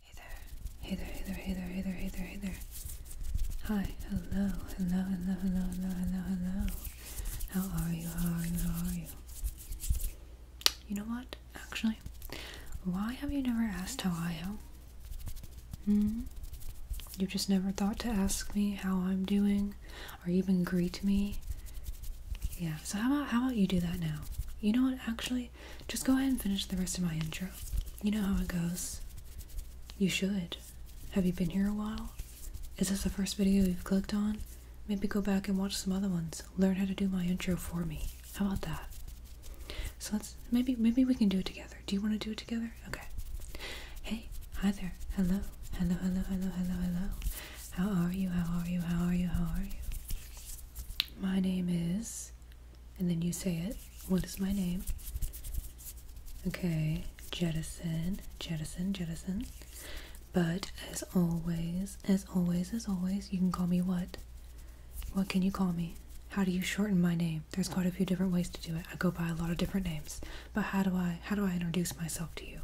Hey there, hey there, hey there, hey there, hey there, hey there, hey there. Hi, hello, hello, hello, hello, hello, hello, hello. How are you? How are you? How are you? You know what? Actually, why have you never asked how I am? Hmm? You just never thought to ask me how I'm doing or even greet me? Yeah, so how about how about you do that now? You know what? Actually, just go ahead and finish the rest of my intro. You know how it goes. You should. Have you been here a while? Is this the first video you've clicked on? Maybe go back and watch some other ones. Learn how to do my intro for me. How about that? So let's maybe maybe we can do it together. Do you want to do it together? Okay. Hey, hi there. Hello. Hello, hello, hello, hello, hello. How are you? How are you? How are you? How are you? My name is and then you say it. What is my name? Okay, jettison, jettison, jettison. But as always, as always, as always, you can call me what? What can you call me? How do you shorten my name? There's quite a few different ways to do it. I go by a lot of different names. But how do I how do I introduce myself to you?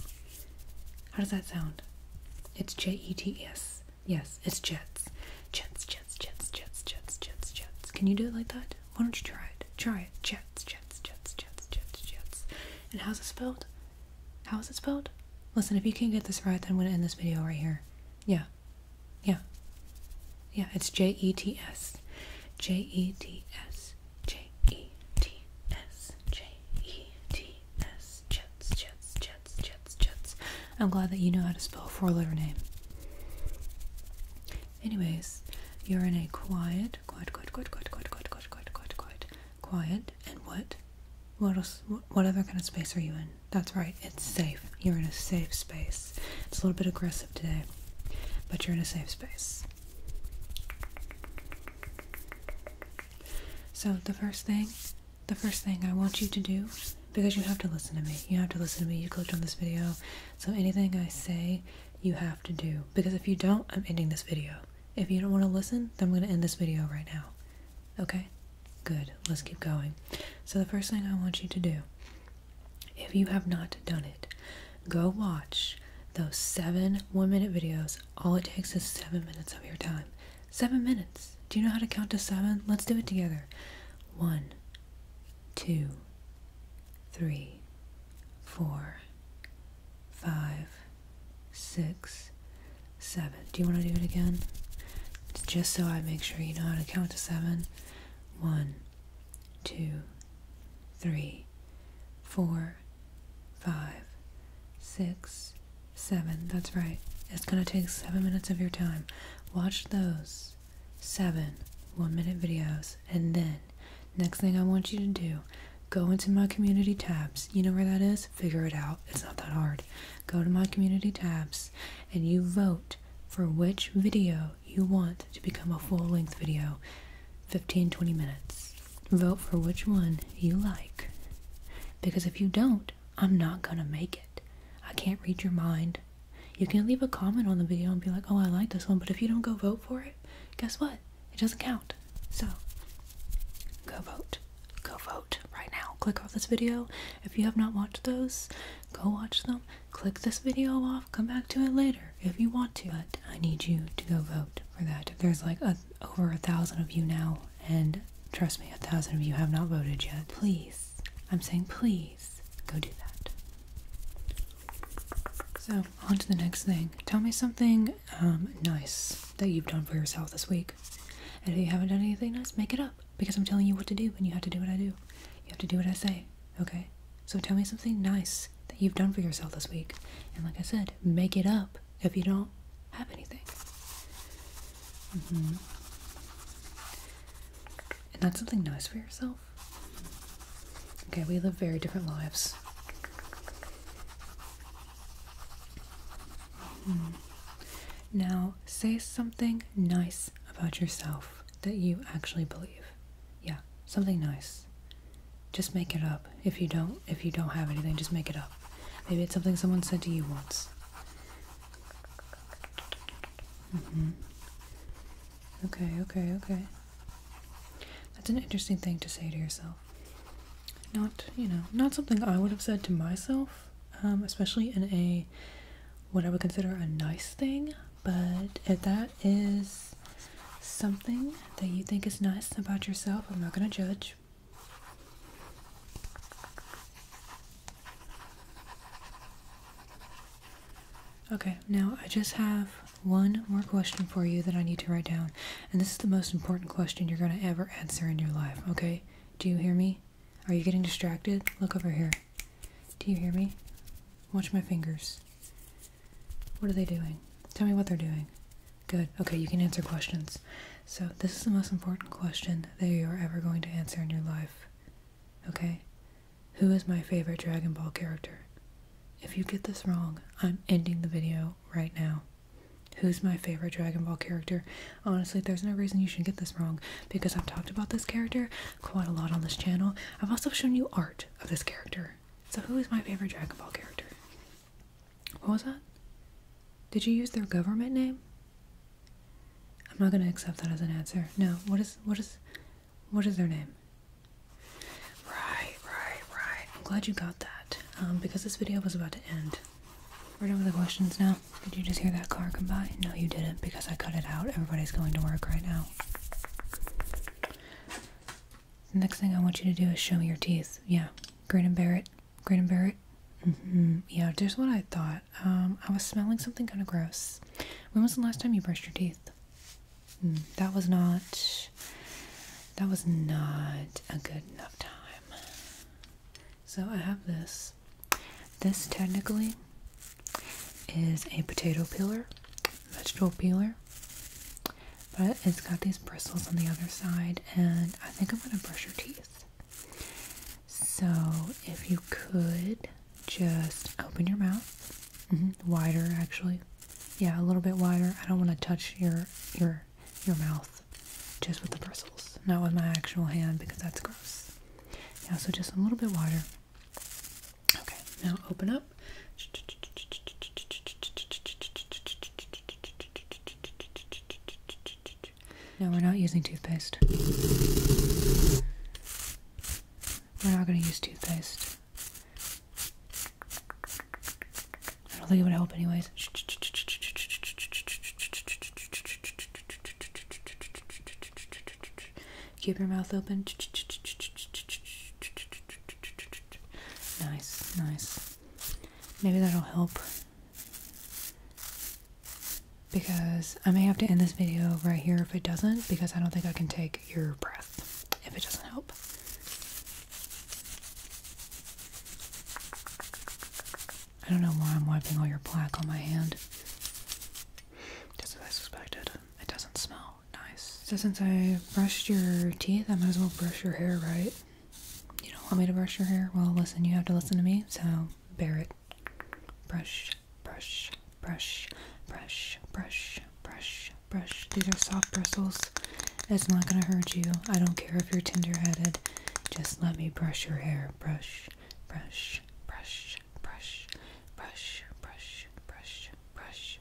How does that sound? It's J E T S. Yes, it's jets. Jets, jets, jets, jets, jets, jets, jets. Can you do it like that? Why don't you try it? Try it. Jets, jets, jets, jets, jets, jets. And how's it spelled? How is it spelled? Listen, if you can't get this right, then I'm going to end this video right here. Yeah. Yeah. Yeah, it's J E T S. J E T S. J E T S. J E T S. Jets, Jets, Jets, Jets, Jets. I'm glad that you know how to spell a four letter name. Anyways, you're in a quiet, quiet, quiet, quiet, quiet, quiet, quiet, quiet, quiet, quiet, quiet, quiet, and what? What else? What, what other kind of space are you in? That's right, it's safe. You're in a safe space. It's a little bit aggressive today, but you're in a safe space. So, the first thing the first thing I want you to do, because you have to listen to me, you have to listen to me, you clicked on this video, so anything I say, you have to do. Because if you don't, I'm ending this video. If you don't want to listen, then I'm going to end this video right now. Okay? Good. Let's keep going. So the first thing I want you to do, if you have not done it, go watch those seven one minute videos. All it takes is seven minutes of your time. Seven minutes. Do you know how to count to seven? Let's do it together. One, two, three, four, five, six, seven. Do you want to do it again? Just so I make sure you know how to count to seven. One, two, three, four, five, six, Seven, that's right. It's gonna take seven minutes of your time. Watch those seven one minute videos, and then next thing I want you to do go into my community tabs. You know where that is? Figure it out. It's not that hard. Go to my community tabs and you vote for which video you want to become a full length video 15 20 minutes. Vote for which one you like. Because if you don't, I'm not gonna make it. I can't read your mind. You can leave a comment on the video and be like, oh, I like this one, but if you don't go vote for it, guess what? It doesn't count. So, go vote. Go vote right now. Click off this video. If you have not watched those, go watch them. Click this video off. Come back to it later if you want to. But I need you to go vote for that. If there's like a over a thousand of you now, and trust me, a thousand of you have not voted yet. Please, I'm saying please go do that. So, on to the next thing. Tell me something um, nice that you've done for yourself this week. And if you haven't done anything nice, make it up because I'm telling you what to do, and you have to do what I do. You have to do what I say, okay? So, tell me something nice that you've done for yourself this week. And like I said, make it up if you don't have anything. Mm-hmm. And that's something nice for yourself. Okay, we live very different lives. Mm-hmm. Now, say something nice about yourself that you actually believe. Yeah, something nice. Just make it up. If you don't, if you don't have anything, just make it up. Maybe it's something someone said to you once. Mm-hmm. Okay, okay, okay. That's an interesting thing to say to yourself. Not, you know, not something I would have said to myself, um, especially in a what I would consider a nice thing, but if that is something that you think is nice about yourself, I'm not going to judge. Okay, now I just have one more question for you that I need to write down. And this is the most important question you're going to ever answer in your life, okay? Do you hear me? Are you getting distracted? Look over here. Do you hear me? Watch my fingers. What are they doing? Tell me what they're doing. Good. Okay, you can answer questions. So, this is the most important question that you are ever going to answer in your life. Okay? Who is my favorite Dragon Ball character? If you get this wrong, I'm ending the video right now. Who's my favorite Dragon Ball character? Honestly, there's no reason you should get this wrong because I've talked about this character quite a lot on this channel. I've also shown you art of this character. So, who is my favorite Dragon Ball character? What was that? Did you use their government name? I'm not going to accept that as an answer. No. What is what is what is their name? Right, right, right. I'm glad you got that. Um, because this video was about to end. We're done with the questions now. Did you just hear that car come by? No, you didn't because I cut it out. Everybody's going to work right now next thing I want you to do is show me your teeth. Yeah, grin and bear it. and bear mm-hmm. Yeah, just what I thought. Um, I was smelling something kind of gross. When was the last time you brushed your teeth? Hmm, that was not. That was not a good enough time. So I have this. This technically is a potato peeler, vegetable peeler. But it's got these bristles on the other side, and I think I'm gonna brush your teeth. So, if you could just open your mouth mm-hmm. wider, actually, yeah, a little bit wider. I don't want to touch your your your mouth just with the bristles, not with my actual hand because that's gross. Yeah, so just a little bit wider. Okay, now open up. No, we're not using toothpaste. We're not going to use toothpaste. I don't think it would help, anyways. Keep your mouth open. Nice, nice. Maybe that'll help. Because I may have to end this video right here if it doesn't, because I don't think I can take your breath if it doesn't help. I don't know why I'm wiping all your plaque on my hand. as I suspected, it doesn't smell. Oh, nice. So since I brushed your teeth, I might as well brush your hair, right? You don't want me to brush your hair? Well, listen, you have to listen to me, so bear it. Brush, brush, brush, brush, brush, brush, brush. These are soft bristles. It's not gonna hurt you. I don't care if you're tender headed. Just let me brush your hair. Brush, brush, brush, brush, brush, brush, brush, brush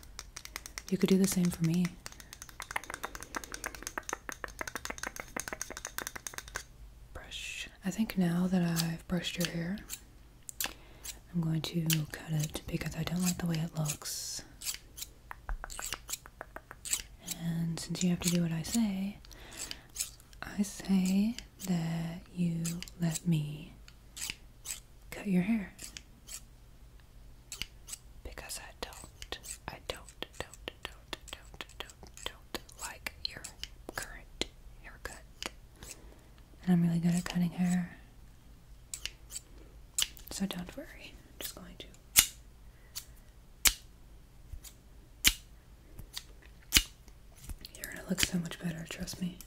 You could do the same for me. Brush. I think now that I've brushed your hair, I'm going to cut it because I don't like the way it looks. And since you have to do what I say, I say that you let me cut your hair. Because I don't, I don't, don't, don't, don't, don't, don't like your current haircut. And I'm really good at cutting hair. So don't worry, I'm just going to. You're gonna look so much better, trust me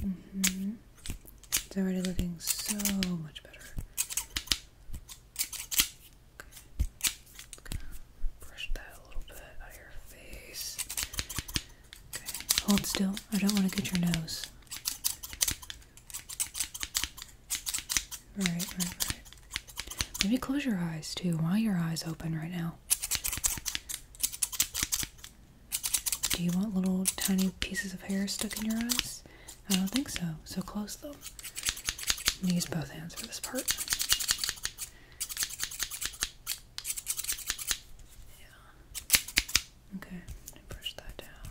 hmm It's already looking so much better. Okay. Brush that a little bit out your face. Okay. Hold still. I don't want to get your nose. Right, right, right. Maybe close your eyes too. Why are your eyes open right now? Do you want little tiny pieces of hair stuck in your eyes? I don't think so. So close them use both hands for this part. Yeah. Okay, brush that down.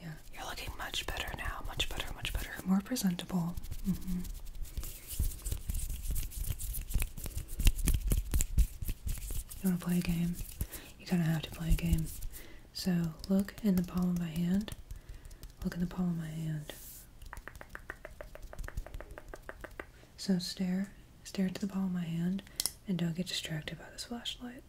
Yeah, you're looking much better now. Much better, much better. More presentable. Mm -hmm. You wanna play a game? You kinda have to play a game. So look in the palm of my hand. Look in the palm of my hand. So stare, stare into the palm of my hand, and don't get distracted by this flashlight.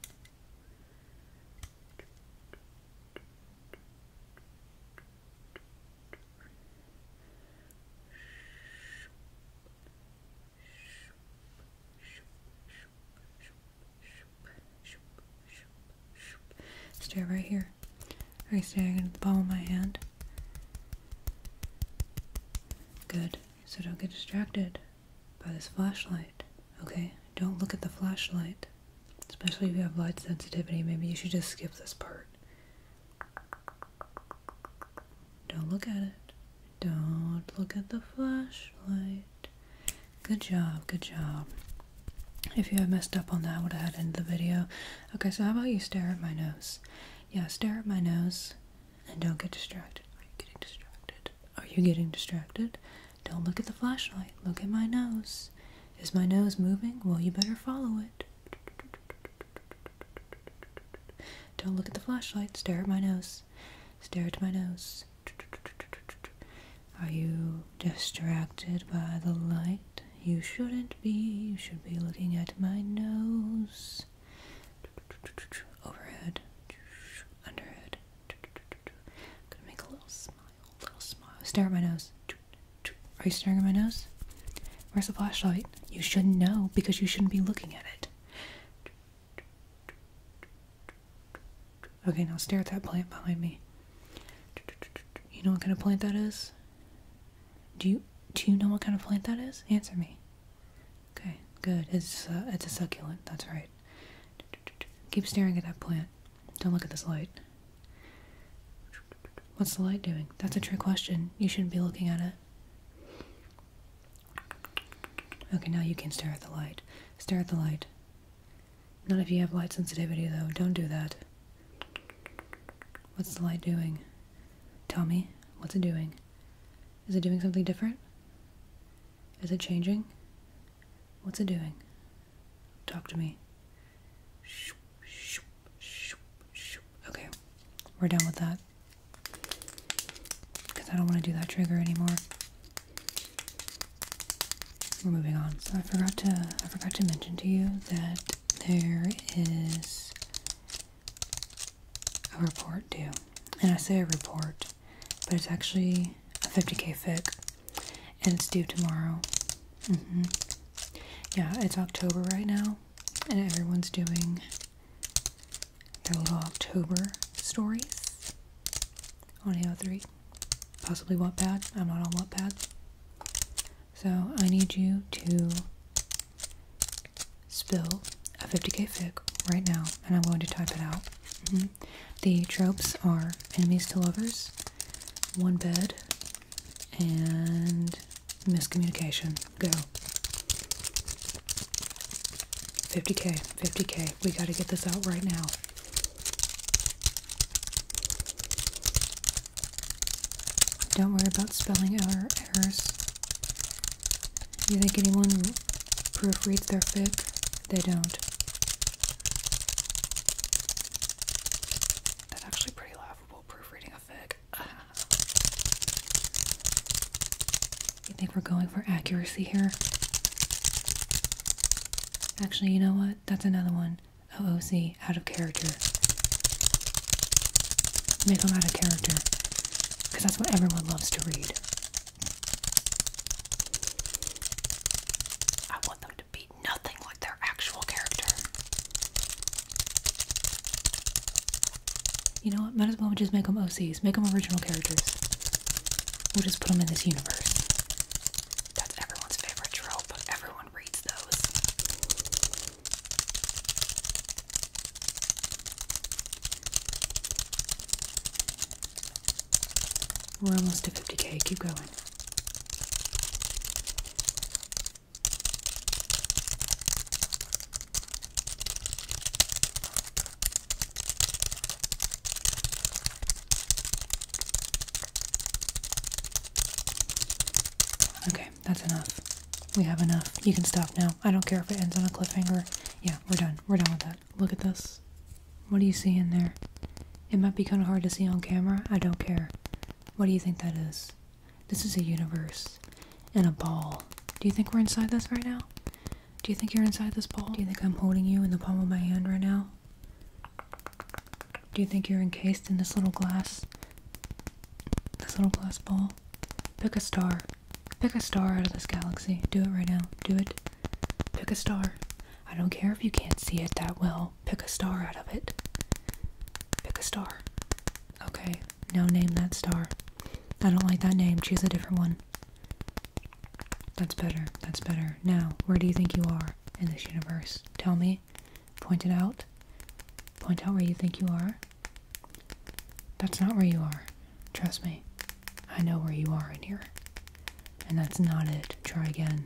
Stay right here. Are you staring at the palm of my hand? Good. So don't get distracted by this flashlight, okay? Don't look at the flashlight. Especially if you have light sensitivity, maybe you should just skip this part. Don't look at it. Don't look at the flashlight. Good job, good job. If you have messed up on that, I would have had to end the video. Okay, so how about you stare at my nose? Yeah, stare at my nose and don't get distracted. Are you getting distracted? Are you getting distracted? Don't look at the flashlight. Look at my nose. Is my nose moving? Well, you better follow it. Don't look at the flashlight. Stare at my nose. Stare at my nose. Are you distracted by the light? You shouldn't be. You should be looking at my nose. Overhead. Underhead. gonna make a little smile. little smile. Stare at my nose. Are you staring at my nose? Where's the flashlight? You shouldn't know because you shouldn't be looking at it. Okay, now stare at that plant behind me. You know what kind of plant that is? Do you do you know what kind of plant that is? Answer me. Okay, good. It's uh, it's a succulent. That's right. Keep staring at that plant. Don't look at this light. What's the light doing? That's a trick question. You shouldn't be looking at it. Okay, now you can stare at the light. Stare at the light. None of you have light sensitivity, though. Don't do that. What's the light doing? Tell me, what's it doing? Is it doing something different? Is it changing? What's it doing? Talk to me. Okay, we're done with that. Because I don't want to do that trigger anymore. We're moving on. So I forgot to I forgot to mention to you that there is a report due. And I say a report, but it's actually a 50k fic and it's due tomorrow. Mm-hmm. Yeah, it's October right now and everyone's doing the Little October stories on AO3. Possibly Wattpad. I'm not on Wattpad. So I need you to spill a 50k fic right now, and I'm going to type it out. Mm-hmm. The tropes are enemies to lovers, one bed, and miscommunication. Go. 50k, 50k, it. We got to get this out right now. Don't worry about spelling errors. Do You think anyone proofreads their fic? They don't. That's actually pretty laughable, proofreading a fic. You think we're going for accuracy here? Actually, you know what? That's another one. OOC, out of character. Make them out of character. Because that's what everyone loves to read. I want them to be nothing like their actual character. You know what? Might as well just make them OCs. Make them original characters. We'll just put them in this universe. That's everyone's favorite trope. Everyone reads those. We're almost to 50k. Keep going. Okay, that's enough. We have enough. You can stop now. I don't care if it ends on a cliffhanger. Yeah, we're done. We're done with that. Look at this. What do you see in there? It might be kind of hard to see on camera. I don't care. What do you think that is? This is a universe. And a ball. Do you think we're inside this right now? Do you think you're inside this ball? Do you think I'm holding you in the palm of my hand right now? Do you think you're encased in this little glass? This little glass ball? Pick a star. Pick a star out of this galaxy. Do it right now. Do it. Pick a star. I don't care if you can't see it that well. Pick a star out of it. Pick a star. Okay, now name that star. I don't like that name. Choose a different one. That's better. That's better. Now, where do you think you are in this universe? Tell me. Point it out. Point out where you think you are. That's not where you are. Trust me. I know where you are in here. And that's not it. Try again.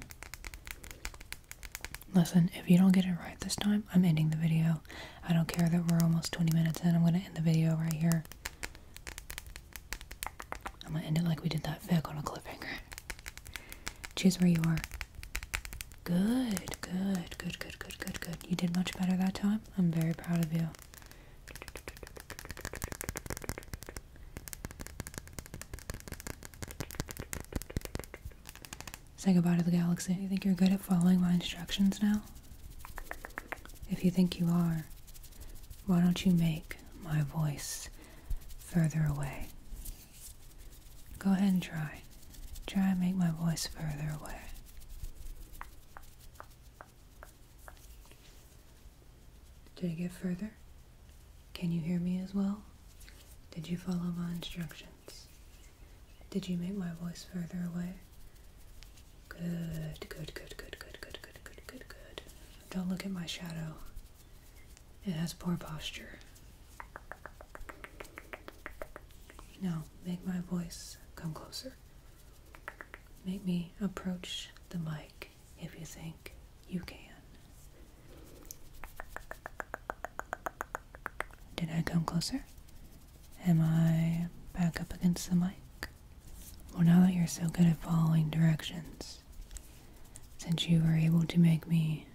Listen, if you don't get it right this time, I'm ending the video. I don't care that we're almost 20 minutes in. I'm going to end the video right here. I'm going to end it like we did that fic on a cliffhanger. Choose where you are. Good, good, good, good, good, good, good. You did much better that time. I'm very proud of you. Say goodbye to the galaxy. You think you're good at following my instructions now? If you think you are, why don't you make my voice further away? Go ahead and try. Try and make my voice further away. Did it get further? Can you hear me as well? Did you follow my instructions? patience. Did you make my voice further away? Good, good, good, good, good, good, good, good, good, good. Don't look at my shadow. It has poor posture. Now, make my voice come closer. Make me approach the mic if you think you can. Did I come closer? Am I back up against the mic? Well, now that you're so good at following directions, since you were able to make me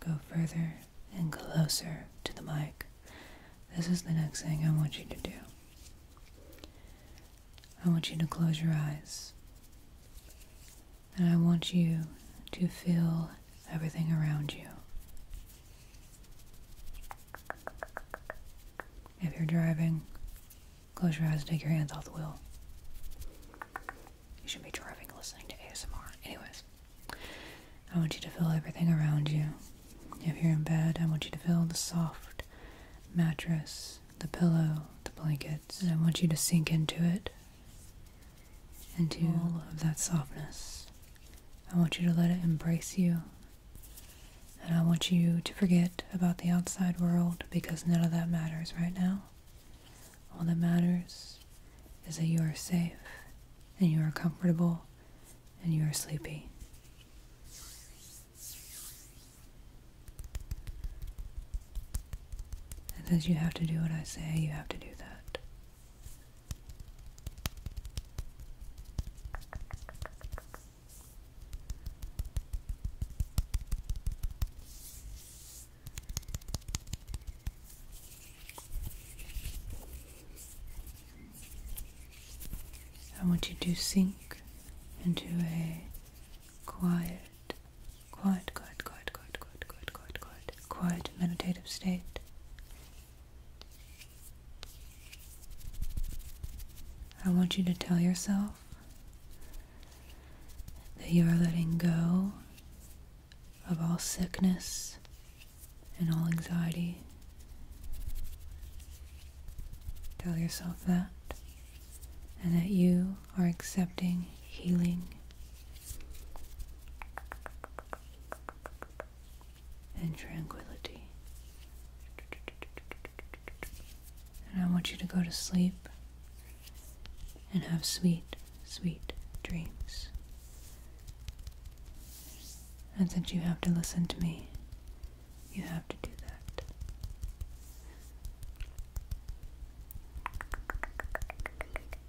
go further and closer to the mic, this is the next thing I want you to do. I want you to close your eyes. And I want you to feel everything around you. If you're driving, close your eyes, and take your hands off the wheel. You should be driving listening to ASMR. Anyways, I want you to feel everything around you. If you're in bed, I want you to feel the soft mattress, the pillow, the blankets, I want you to sink into it into all of that softness. I want you to let it embrace you. And I want you to forget about the outside world because none of that matters right now. All that matters is that you are safe and you are comfortable and you are sleepy. And as you have to do what I say, you have to do that. I want you to sink into a quiet, quiet, quiet, quiet, quiet, quiet, quiet, quiet, quiet, quiet meditative state I want you to tell yourself that you are letting go of all sickness and all anxiety. Tell yourself that, and that you are accepting healing and tranquility. And I want you to go to sleep and have sweet, sweet dreams. And since you have to listen to me, you have to do that.